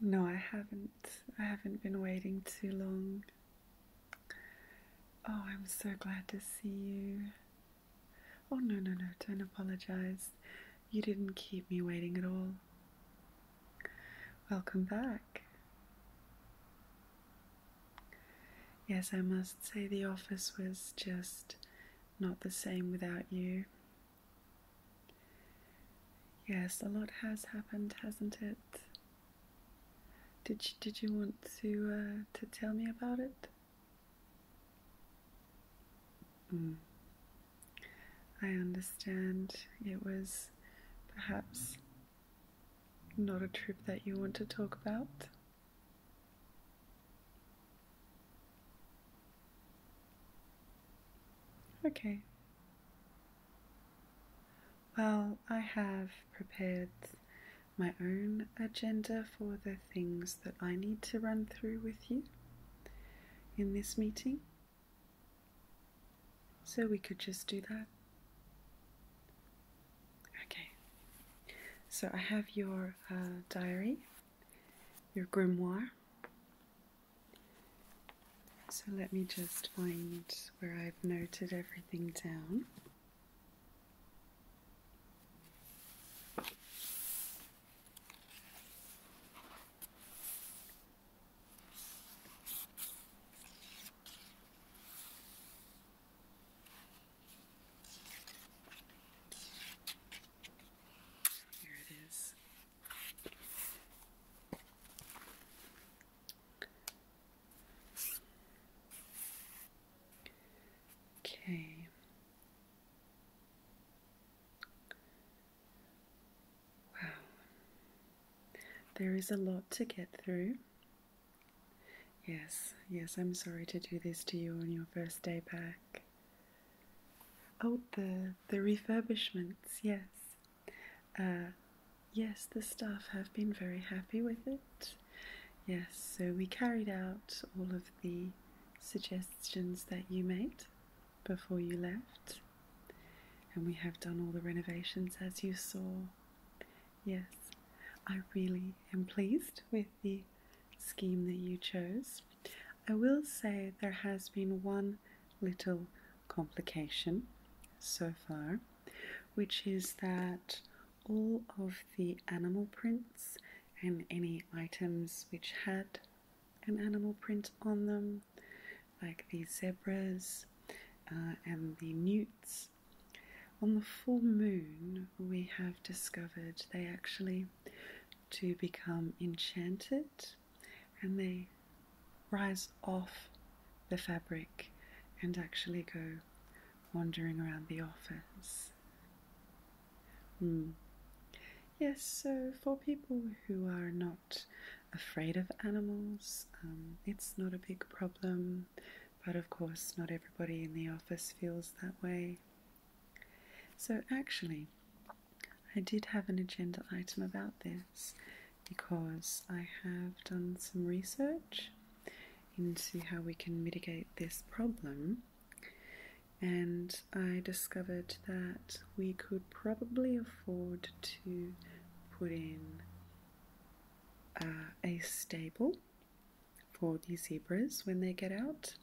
No, I haven't. I haven't been waiting too long. Oh, I'm so glad to see you. Oh, no, no, no, don't apologize. You didn't keep me waiting at all. Welcome back. Yes, I must say the office was just not the same without you. Yes, a lot has happened, hasn't it? Did you, did you want to uh, to tell me about it? Hmm. I understand. It was perhaps not a trip that you want to talk about. Okay. Well, I have prepared my own agenda for the things that I need to run through with you in this meeting. So we could just do that. Okay, so I have your uh, diary, your grimoire. So let me just find where I've noted everything down. Here it is. Okay. Wow. There is a lot to get through. Yes, yes, I'm sorry to do this to you on your first day back. Oh, the the refurbishments, yes. Uh, yes, the staff have been very happy with it. Yes, so we carried out all of the suggestions that you made before you left, and we have done all the renovations as you saw. Yes, I really am pleased with the scheme that you chose. I will say there has been one little complication so far, which is that all of the animal prints and any items which had an animal print on them, like the zebras uh, and the newts on the full moon, we have discovered they actually do become enchanted and they rise off the fabric and actually go wandering around the office. Hmm. Yes, so for people who are not afraid of animals, um, it's not a big problem but of course, not everybody in the office feels that way. So, actually, I did have an agenda item about this because I have done some research into how we can mitigate this problem, and I discovered that we could probably afford to put in uh, a stable for the zebras when they get out,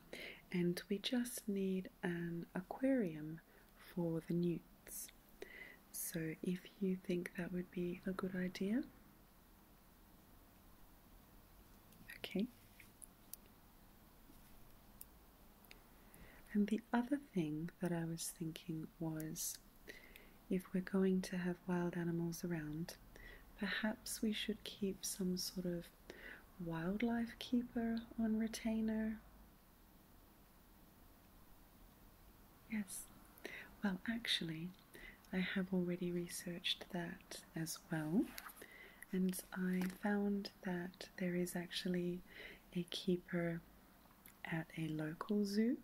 and we just need an aquarium for the newts. So, if you think that would be a good idea, okay. And the other thing that I was thinking was if we're going to have wild animals around, Perhaps we should keep some sort of wildlife keeper on retainer. Yes, well, actually, I have already researched that as well, and I found that there is actually a keeper at a local zoo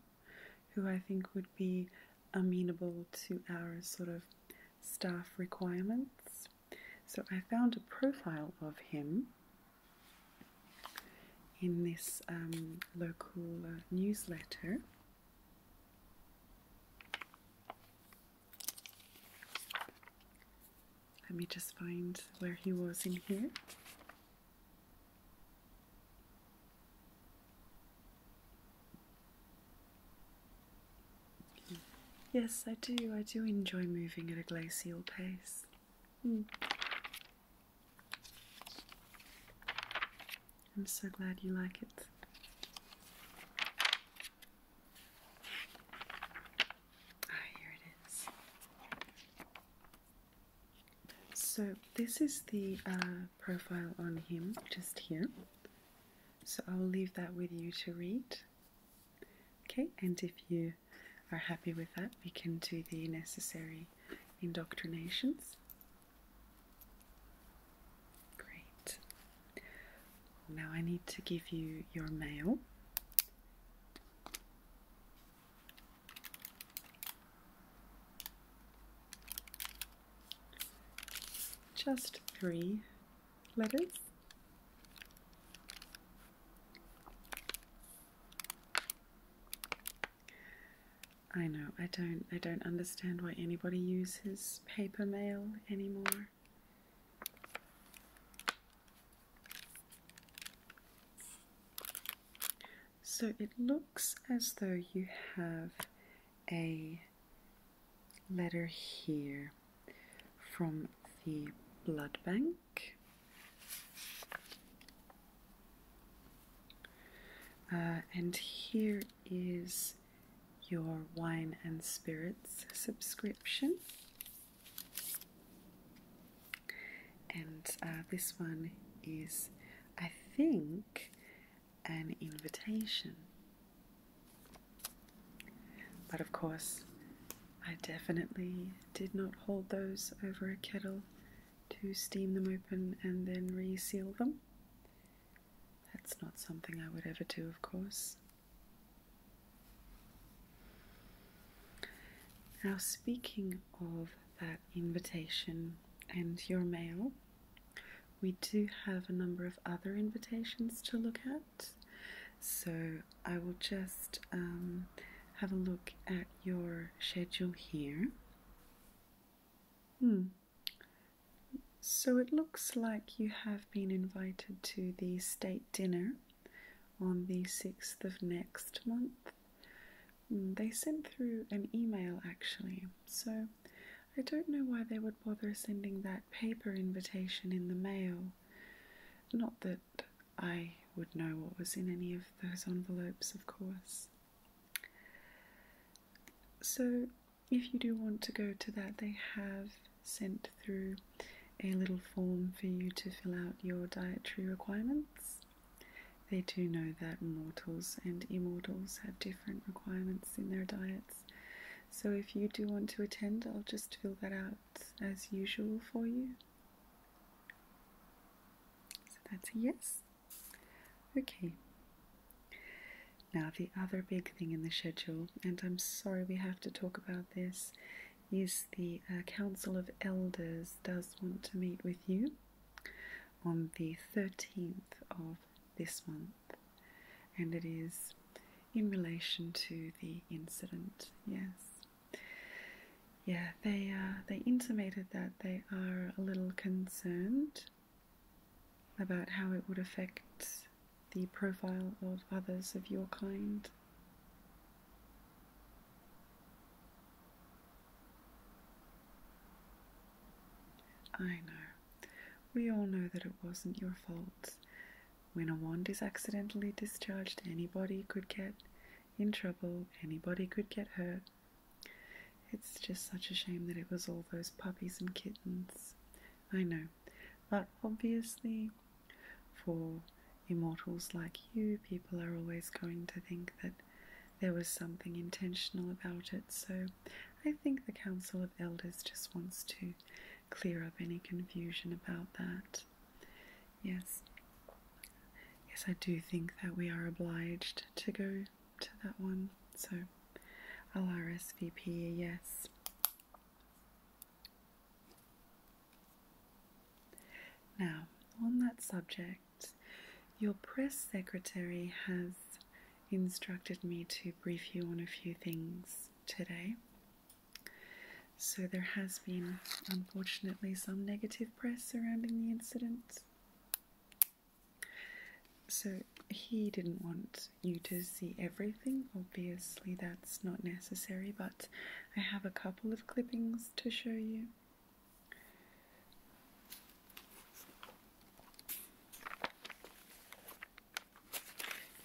who I think would be amenable to our sort of staff requirements. So I found a profile of him in this um, local uh, newsletter. Let me just find where he was in here. Yes, I do. I do enjoy moving at a glacial pace. Hmm. I'm so glad you like it. Ah, here it is. So, this is the uh, profile on him just here. So I'll leave that with you to read. Okay, and if you are happy with that, we can do the necessary indoctrinations. Great. Now I need to give you your mail just three letters. I know I don't I don't understand why anybody uses paper mail anymore. So it looks as though you have a letter here from the blood bank. Uh, and here is your wine and spirits subscription. And uh, this one is, I think, an invitation. But of course, I definitely did not hold those over a kettle to steam them open and then reseal them. That's not something I would ever do, of course. Now, speaking of that invitation and your mail, we do have a number of other invitations to look at, so I will just um, have a look at your schedule here. Hmm. So it looks like you have been invited to the state dinner on the 6th of next month. Hmm, they sent through an email actually, so I don't know why they would bother sending that paper invitation in the mail. Not that I would know what was in any of those envelopes, of course. So, if you do want to go to that, they have sent through a little form for you to fill out your dietary requirements. They do know that mortals and immortals have different requirements in their diets. So if you do want to attend, I'll just fill that out as usual for you. So that's a yes. Okay. Now, the other big thing in the schedule, and I'm sorry we have to talk about this, is the uh, Council of Elders does want to meet with you on the 13th of this month, and it is in relation to the incident. Yes, yeah, they uh, they intimated that they are a little concerned about how it would affect the profile of others of your kind. I know. We all know that it wasn't your fault. When a wand is accidentally discharged, anybody could get in trouble, anybody could get hurt. It's just such a shame that it was all those puppies and kittens. I know, but obviously, for immortals like you, people are always going to think that there was something intentional about it, so I think the Council of Elders just wants to clear up any confusion about that. Yes, yes, I do think that we are obliged to go to that one, so I'll RSVP yes. Now, on that subject, your press secretary has instructed me to brief you on a few things today. So, there has been, unfortunately, some negative press surrounding the incident. So, he didn't want you to see everything, obviously, that's not necessary, but I have a couple of clippings to show you.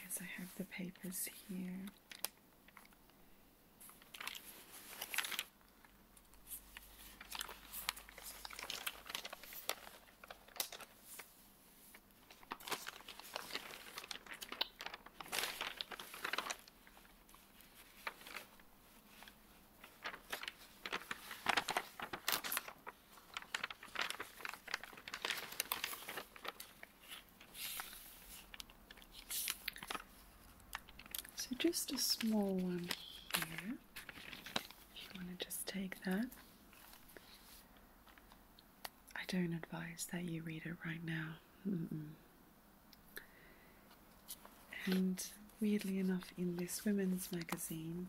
As I have the papers here. So, just a small one here. If you want to just take that, I don't advise that you read it right now. And weirdly enough, in this women's magazine,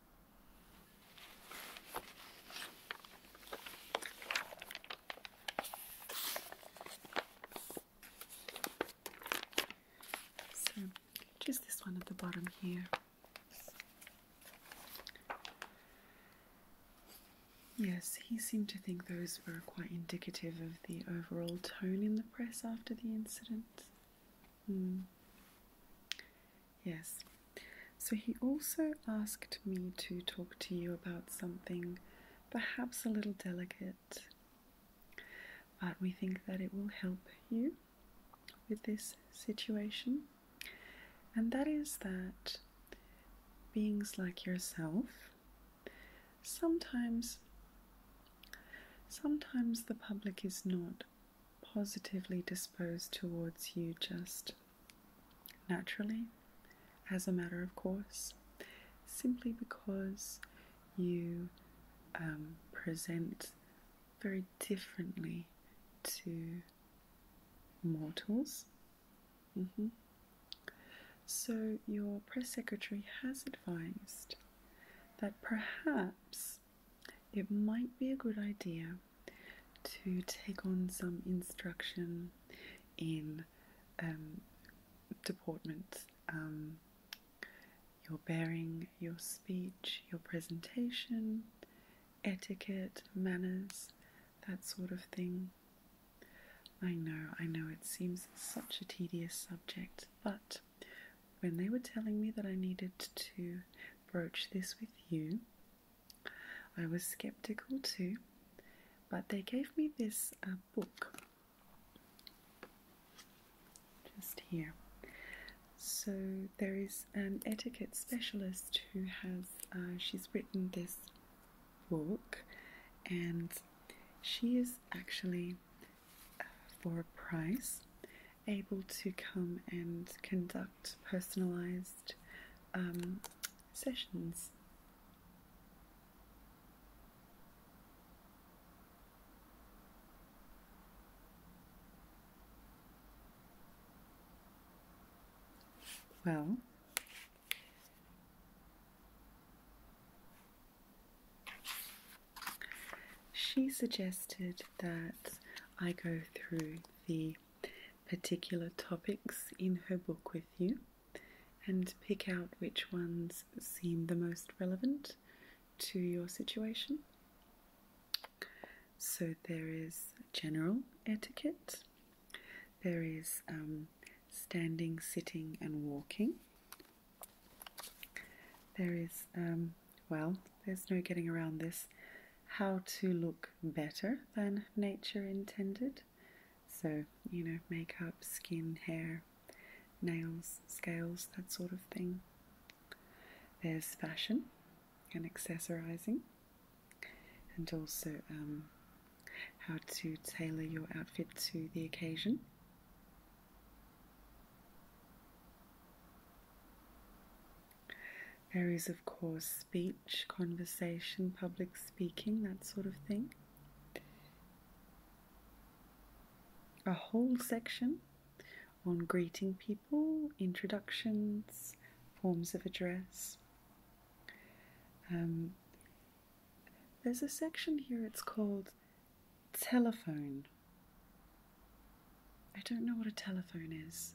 So just this one at the bottom here. Yes, he seemed to think those were quite indicative of the overall tone in the press after the incident. Mm. Yes. So he also asked me to talk to you about something perhaps a little delicate, but we think that it will help you with this situation. And that is that beings like yourself sometimes sometimes the public is not positively disposed towards you just naturally, as a matter of course, simply because you um, present very differently to mortals. Mm-hmm. So, your press secretary has advised that perhaps it might be a good idea to take on some instruction in um, deportment, um, your bearing, your speech, your presentation, etiquette, manners, that sort of thing. I know, I know, it seems such a tedious subject, but when they were telling me that I needed to Approach this with you. I was skeptical too, but they gave me this uh, book just here. So there is an etiquette specialist who has uh, she's written this book, and she is actually uh, for a price able to come and conduct personalized um, sessions. Well, she suggested that I go through the particular topics in her book with you and pick out which ones seem the most relevant to your situation. So there is general etiquette, there is um, standing, sitting, and walking, there is um, well, there's no getting around this. How to look better than nature intended. So, you know, makeup, skin, hair, nails, scales, that sort of thing. There's fashion and accessorizing, and also um, how to tailor your outfit to the occasion. There is, of course, speech, conversation, public speaking, that sort of thing. A whole section on greeting people, introductions, forms of address. Um, there's a section here, it's called telephone. I don't know what a telephone is.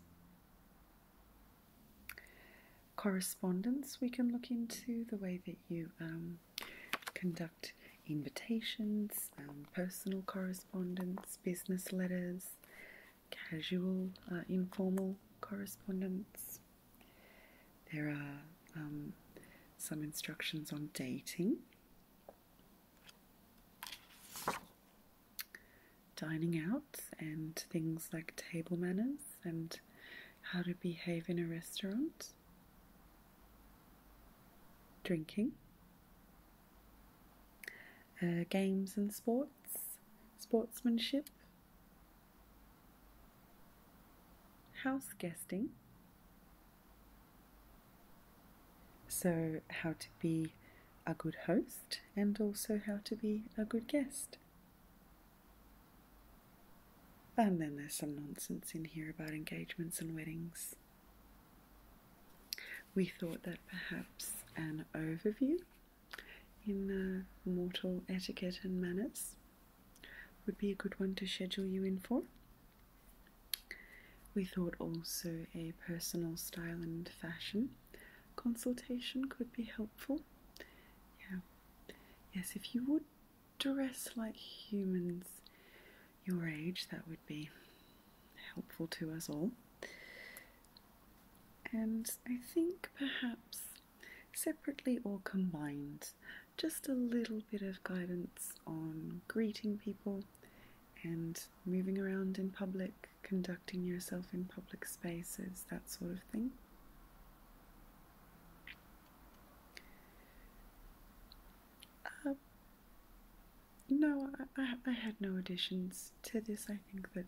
Correspondence we can look into the way that you um, conduct invitations, personal correspondence, business letters, casual, uh, informal correspondence. There are um, some instructions on dating dining out and things like table manners and how to behave in a restaurant, drinking, uh, games and sports, sportsmanship, house guesting. So, how to be a good host and also how to be a good guest. And then there's some nonsense in here about engagements and weddings. We thought that perhaps an overview in the uh, mortal etiquette and manners would be a good one to schedule you in for. We thought also a personal style and fashion consultation could be helpful. Yeah. Yes, if you would dress like humans your age, that would be helpful to us all. And I think perhaps separately or combined, just a little bit of guidance on greeting people and moving around in public conducting yourself in public spaces, that sort of thing. Uh, no, I, I, had no additions to this. I think that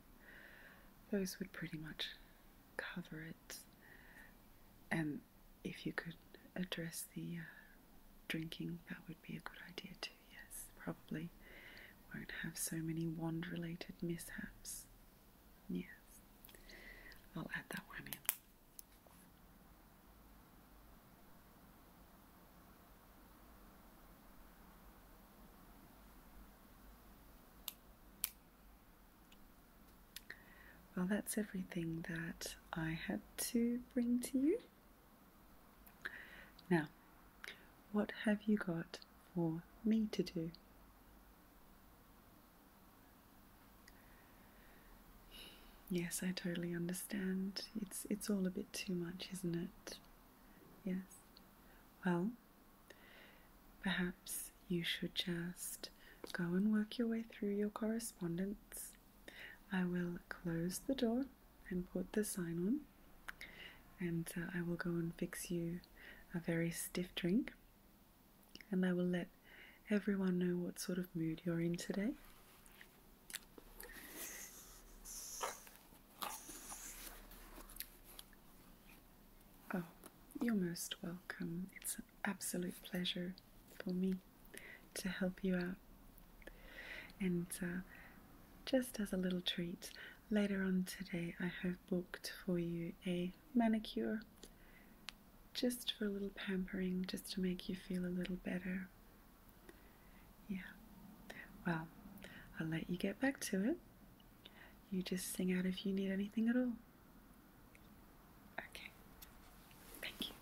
those would pretty much cover it. And if you could address the uh, drinking, that would be a good idea too yes, probably won't have so many wand related mishaps. Yes, I'll add that one in. Well, that's everything that I had to bring to you. Now, what have you got for me to do? Yes, I totally understand. It's it's all a bit too much, isn't it? Yes. Well, perhaps you should just go and work your way through your correspondence. I will close the door and put the sign on, and uh, I will go and fix you a very stiff drink, and I will let everyone know what sort of mood you're in today. Oh, you're most welcome. It's an absolute pleasure for me to help you out. And uh, just as a little treat, Later on today, I have booked for you a manicure just for a little pampering, just to make you feel a little better. Yeah, well, I'll let you get back to it. You just sing out if you need anything at all. Okay, thank you.